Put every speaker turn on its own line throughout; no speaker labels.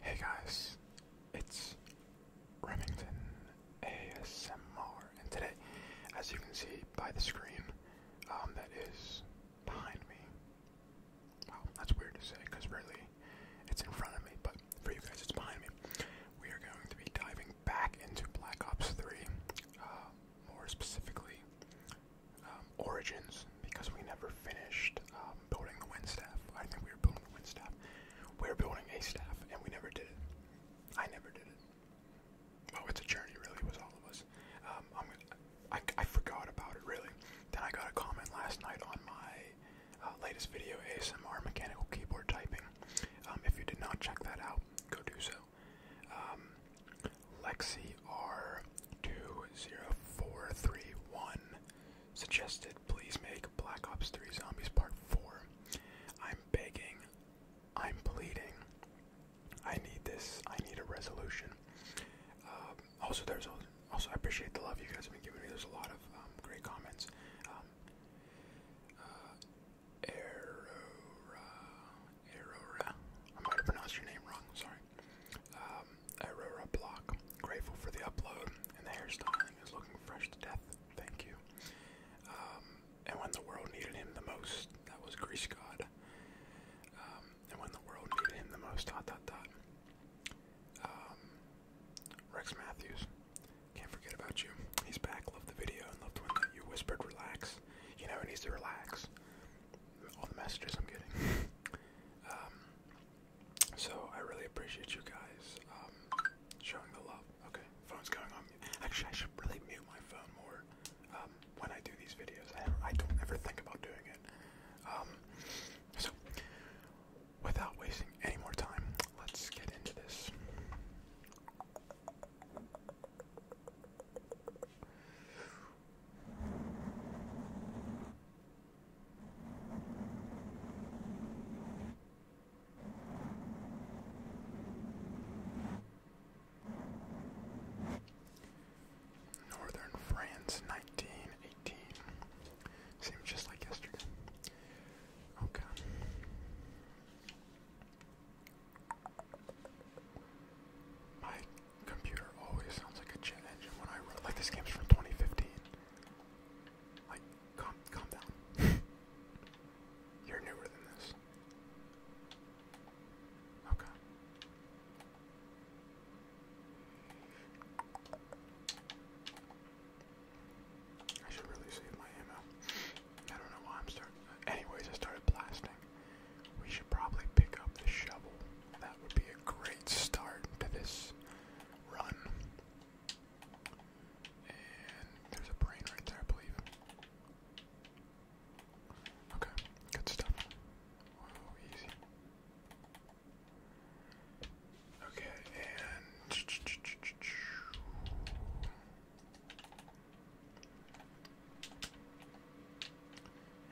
Hey guys, it's Remington ASMR, and today, as you can see by the screen um, that is behind me, wow, that's weird to say because really it's in front of me, but for you guys it's behind me. We are going to be diving back into Black Ops 3, uh, more specifically um, origins because we never finished um, building the wind staff. I think we were building the wind We were building a staff, and we never did it. I never did it. Oh, it's a journey, really, with all of us. Um, i forgot about it, really. Then I got a comment last night on my uh, latest video, ASMR Mechanical Keyboard Typing. if you did not check that out, go do so. Lexi R20431 suggested please make Black Ops 3 Zombies Part 4. I'm begging. I'm pleading. I need this. I need a resolution. Um, also, there's also I appreciate the love you guys have been giving me. There's a lot of um, great comments. Um, uh, Aurora, Aurora. I might have pronounced your name wrong. Sorry. Aurora um, Block, grateful for the upload and the hairstyling is looking fresh to death. Thank you. Um, and when the world needed him the most, that was Grease God. Um, and when the world needed him the most, dot dot dot. Rex Matthews, can't forget about you. He's back. Loved the video and loved when you whispered relax. You know, he needs to relax all the messages I'm getting. Um, so I really appreciate you guys um, showing the love. Okay, phone's going on. Actually, I should really mute my phone more um, when I do these videos. I, don't ever think about doing it. so, without wasting any more time, let's get into this. Northern France, 1918. Seems just like yesterday. Okay. My computer always sounds like a jet engine when I run. Like this game's from 2015. Like, calm, calm down. You're newer than this. Okay. I should really save my ammo. I don't know why I'm starting. Anyways, I started blasting. We should probably pick up the shovel. That would be a great start to this run. And there's a brain right there, I believe. Okay, good stuff. easy. Okay, and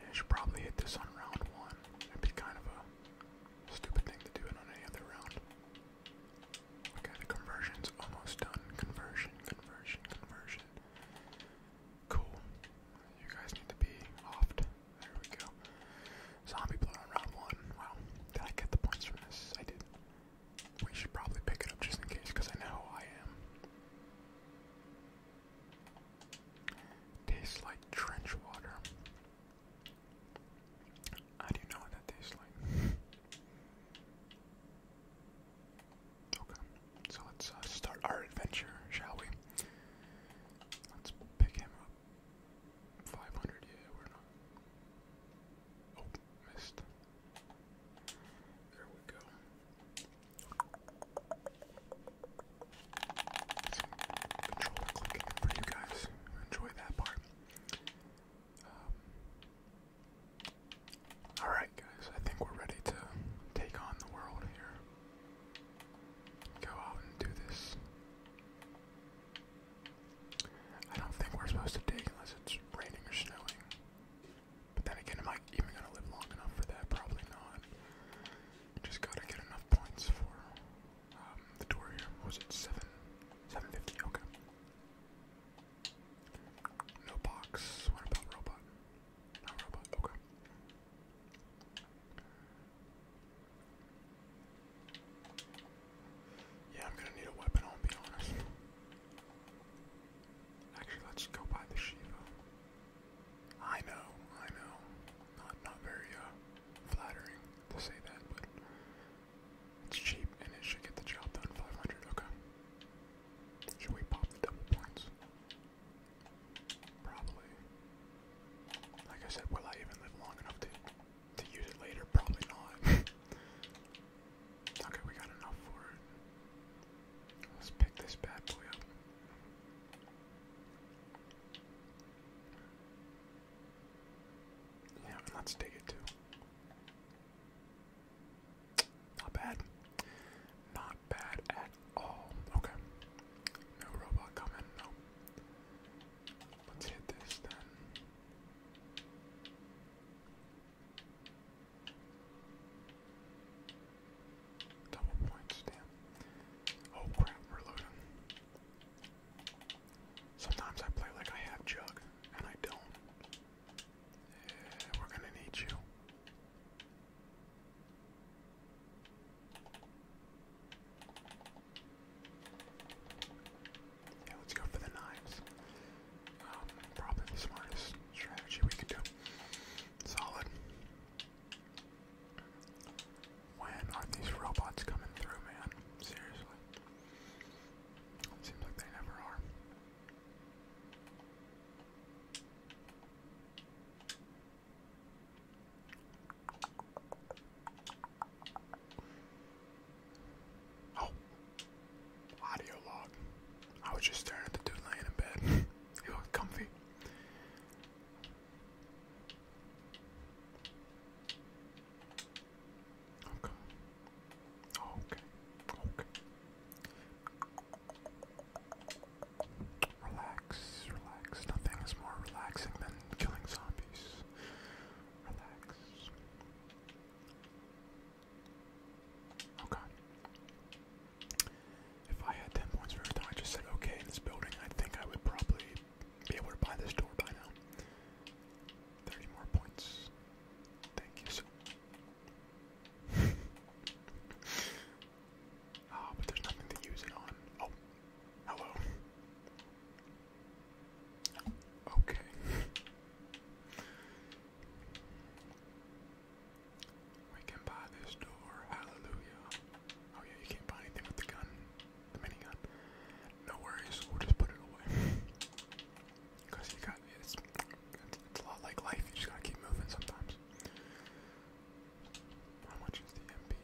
I should probably hit this on round one. It'd be kind of a stupid thing to do it on any other round. Okay, the conversion's almost done. Conversion, conversion, conversion. Cool. You guys need to be offed. There we go. Zombie blood on round one. Wow. Did I get the points from this? I did. We should probably pick it up just in case, because I know I am. Tastes like trench water. How do you know that tastes like? Okay, so let's uh, start our adventure, shall we? Let's pick him up. 500, yeah, we're not. Oh, missed. There we go. Some clicking for you guys. Enjoy that part. Um, Alright, guys, I think we're ready to take on the world here. Go out and do this. I don't think we're supposed to dig unless it's raining or snowing. But then again, am I even gonna live long enough for that? Probably not. Just gotta get enough points for um, the door here. was it seven, seven fifty? Okay. No box. What about robot? Not robot. Okay. Yeah, I'm gonna need a weapon. I'll be honest. Actually, let's go buy the Shiva. I know, I know. Not not very uh, flattering to say that, but it's cheap and it should get the job done. 500, okay. Should we pop the double points? Probably. Like I said, will I even live long enough to to use it later? Probably not. okay, we got enough for it. Let's pick this bad boy up. Yeah, let's dig it too. Not bad. Not bad at all. Okay. No robot coming. No. Let's hit this then. Double points, damn. Oh crap, we Sometimes I play like I have Jug, and I don't. we're gonna need you. Yeah, let's go for the knives. Um, probably the smartest strategy we could do. Solid. When are these robots coming through, man? Seriously. It seems like they never are. Oh, audio log. I was just staring at the dude laying in bed. You're comfy. Okay. Okay. Okay. Relax, relax. Nothing is more relaxing than killing zombies. Relax. Okay. If I had 10 points for everything I just said okay in this building, I think I would probably be able to buy this door by now. 30 more points. Thank you so much. Ah, but there's nothing to use it on. Oh, hello. Okay. We can buy this door. Hallelujah. Oh yeah, you can't buy anything with the gun. The minigun. No worries, we'll just put it away. Cause you got it's a lot like life, you just gotta keep moving sometimes. How much is the MP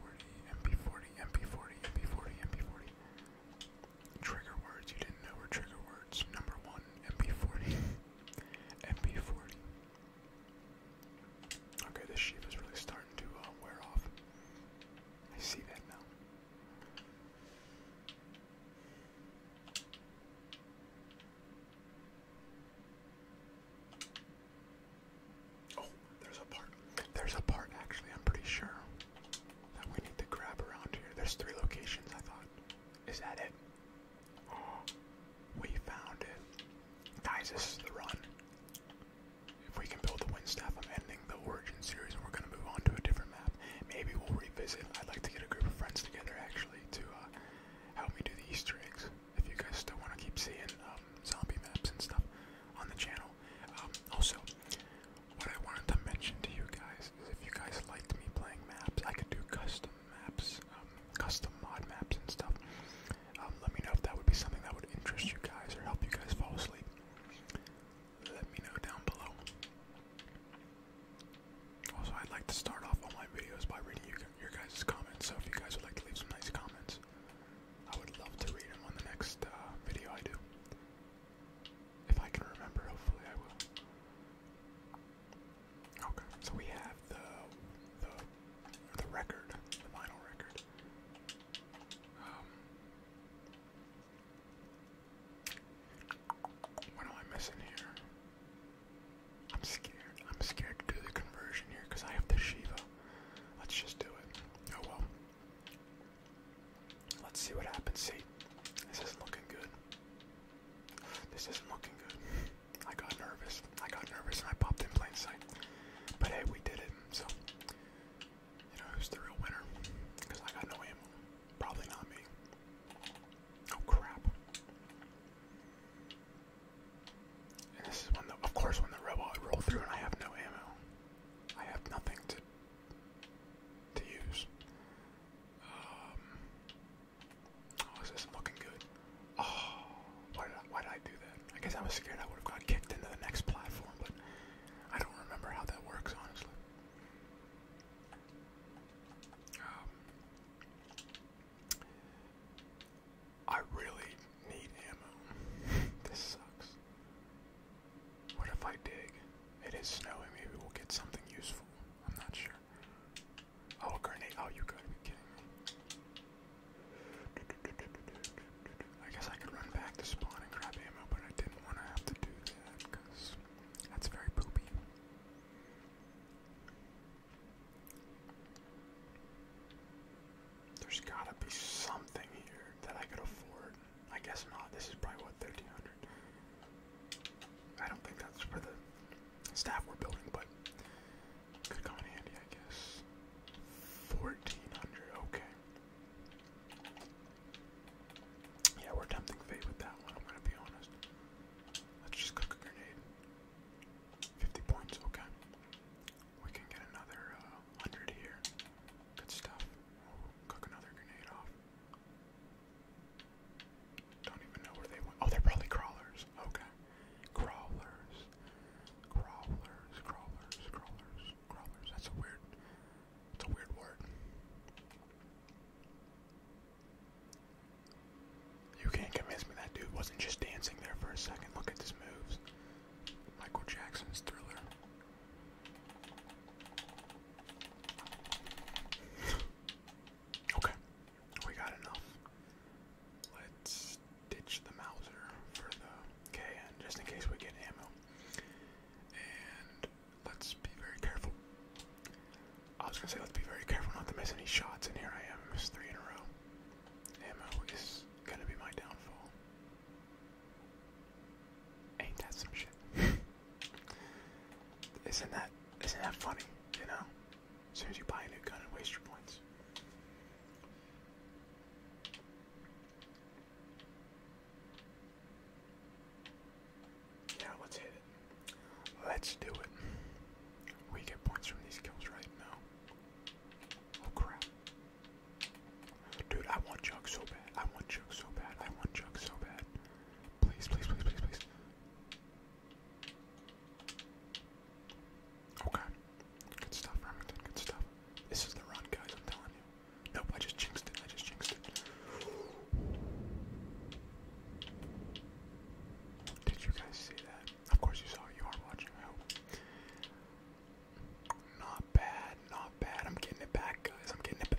forty, MP forty, MP forty, MP forty, MP forty? Trigger words you didn't know were trigger words. Number one, MP forty. MP40. Okay, this sheep is really starting to uh, wear off. I see that now. Oh, there's a part. There's a part actually, I'm pretty sure that we need to grab around here. There's three locations, I thought. Is that it? Oh, we found it. Guys, this is the run. If we can build the wind I'm ending the origin series and we're gonna move on to a different map. Maybe we'll revisit. I'd like to get a group of friends together actually to uh, help me do the Easter eggs. If you guys still wanna keep seeing um, zombie maps and stuff on the channel. Um, also, what I wanted to mention to you guys is if you guys liked me playing maps, I could do custom maps, um, custom mod maps and stuff. Um, let me know if that would be something that would interest you guys or help you guys fall asleep. Let me know down below. Also, I'd like to start off all my videos by reading your guys' comments. So if you guys would like to leave some nice comments, I would love to read them on the next uh, video I do. If I can remember, hopefully I will. Okay, so we have the the the record, the record. Um, what am I missing here? I'm scared. I'm scared to do the conversion here because I have the Shiva. Let's just do it. Oh well. Let's see what happens. See, this is not looking good. This isn't looking good. I got nervous. I got nervous and I popped in plain sight. But hey, we did it. So, you know, who's the real winner? Because I got no ammo. Probably not me. Oh crap. And this is when the, of course, when the robot roll through and I have no ammo. I have nothing to to use. Um, Oh, is this looking good? Oh, why did, I, do that? I guess I was scared I would have got kicked into the next platform, but I don't remember how that works, honestly. Um, I really need ammo. this sucks. What if I dig? It is snowing. Maybe we'll get something useful. I'm not sure. Oh, grenade. Oh, you gotta be kidding me. I guess I could run back to spawn and grab ammo, but I didn't want to have to do that because that's very poopy. There's gotta be something here that I could afford. I guess not. This is probably what 1300 I don't think that's for the staff we're building, but could come in handy, I guess. 1400, okay. Yeah, we're tempting fate with that one, I'm gonna be honest. Let's just cook a grenade. 50 points, okay. We can get another 100 uh, here. Good stuff. cook another grenade off. Don't even know where they went. Oh, they're probably crawlers. Okay. Crawlers. Crawlers. Crawlers. Crawlers. Crawlers. That's a weird it's a weird word. You can't convince me that dude wasn't just dancing there for a second. Look at his moves. Michael Jackson's thriller. Okay, we got enough. Let's ditch the Mauser for the just in case we get ammo. And let's be very careful. I was gonna say let's be very careful not to miss any shots, and here I am, missed three in a row. Ammo is gonna be my downfall. Ain't that some shit? Isn't that isn't that funny? You know, as soon as you buy a new gun and waste your points. Yeah, let's hit it. Let's do it. We get points from these kills, right? No. Oh crap. Dude, I want jug so bad. I want jug so bad. I want jug so bad. Please, please, please, please, please. Okay. Good stuff, Remington. Good stuff. This is the run, guys. I'm telling you. Nope, I just jinxed it. I just jinxed it. Did you guys see that? Of course you saw You are watching, I hope. Not bad. Not bad. I'm getting it back, guys. I'm getting it back.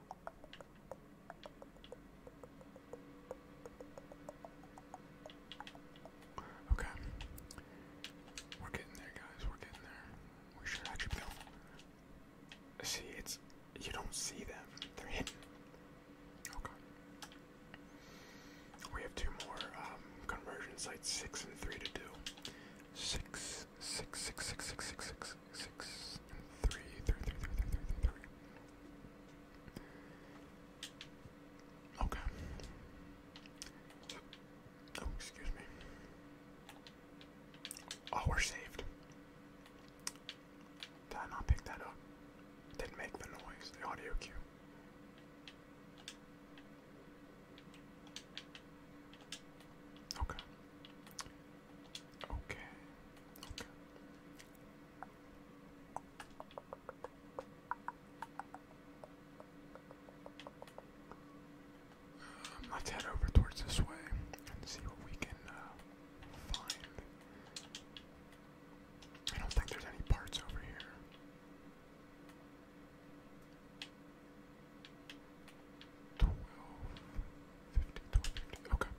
Okay. We're getting there, guys. We're getting there. We should actually be able See, it's. You don't see them. They're hidden. Okay. We have two more um, conversion sites, six and three to do. Six, six, six, six, six, six, six six, six, three, three, three, three, three, three, three. Okay. Oh, excuse me. Oh, we're saved. Did not pick that up? Didn't make the noise, the audio cue. Okay. Okay. let's head over towards this way and see what we can uh, find. I don't think there's any parts over here. Twelve fifty, twelve fifty. Okay.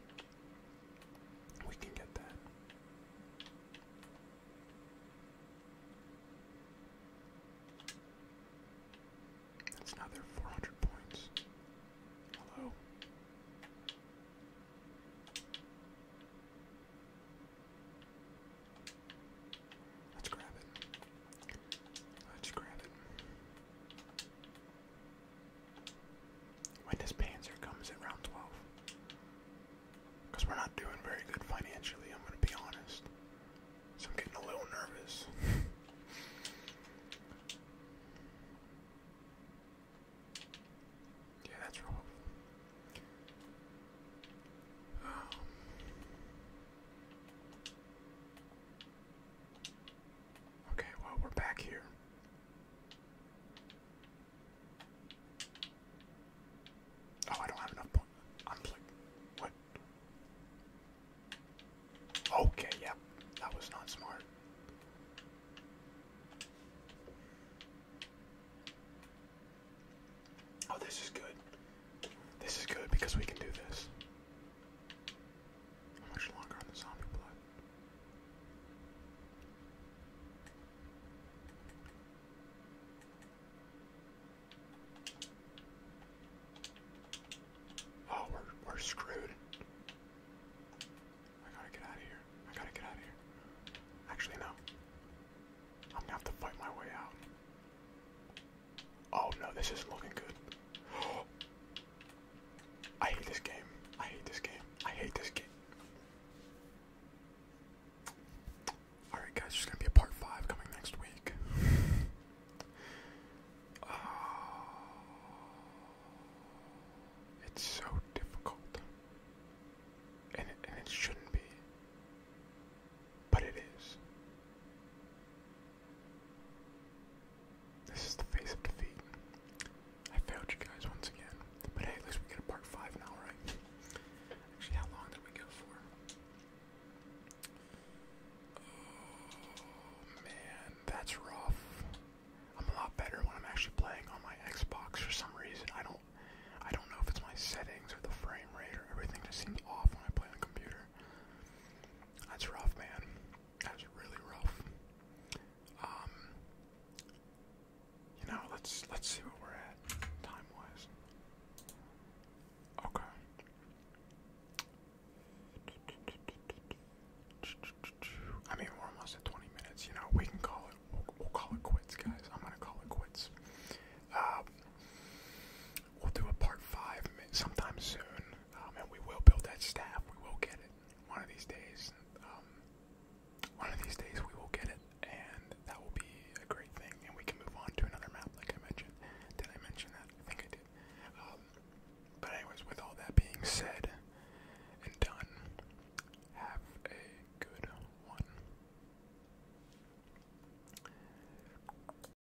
We can get that. That's another four hundred points. Hello. Let's grab it. Let's grab it. When this Panzer comes in round 12. Because we're not doing very good financially, I'm going to be honest. So I'm getting a little nervous. yeah, that's wrong. Um. Okay, well, we're back here. Oh, I don't have enough points. I'm like, what? Okay, yep, that was not smart. Oh, this is good. This is good because we can do this. How much longer on the zombie blood? Oh, we're we're screwed. I gotta get out of here. I gotta get out of here. Actually, no. I'm gonna have to fight my way out. Oh no, this is looking good. I hate this game. I hate this game. I hate this game. Alright guys, there's gonna be a part five coming next week. Ah, it's so difficult. And and it shouldn't be. But it is. This is the face of defeat. I failed you guys once again. But hey, at least we get a part 5 now, right? Actually, how long did we go for? Oh, man, that's rough. I'm a lot better when I'm actually playing on my Xbox for some reason. I don't I don't know if it's my settings or the frame rate or everything just seems off when I play on a computer. That's rough, man. That's really rough. Um, you know, let's let's see what we're at time-wise. Okay. I mean, we're almost at 20 minutes. You know, we can call it. We'll, call it quits, guys. I'm gonna call it quits. Um, we'll do a part five sometime soon. Oh, and we will build that staff. We will get it one of these days. Um, one of these days we will get it, and that will be a great thing. And we can move on to another map, like I mentioned. Did I mention that? I think I did. Um, but anyways, with all that being said and done, have a good one.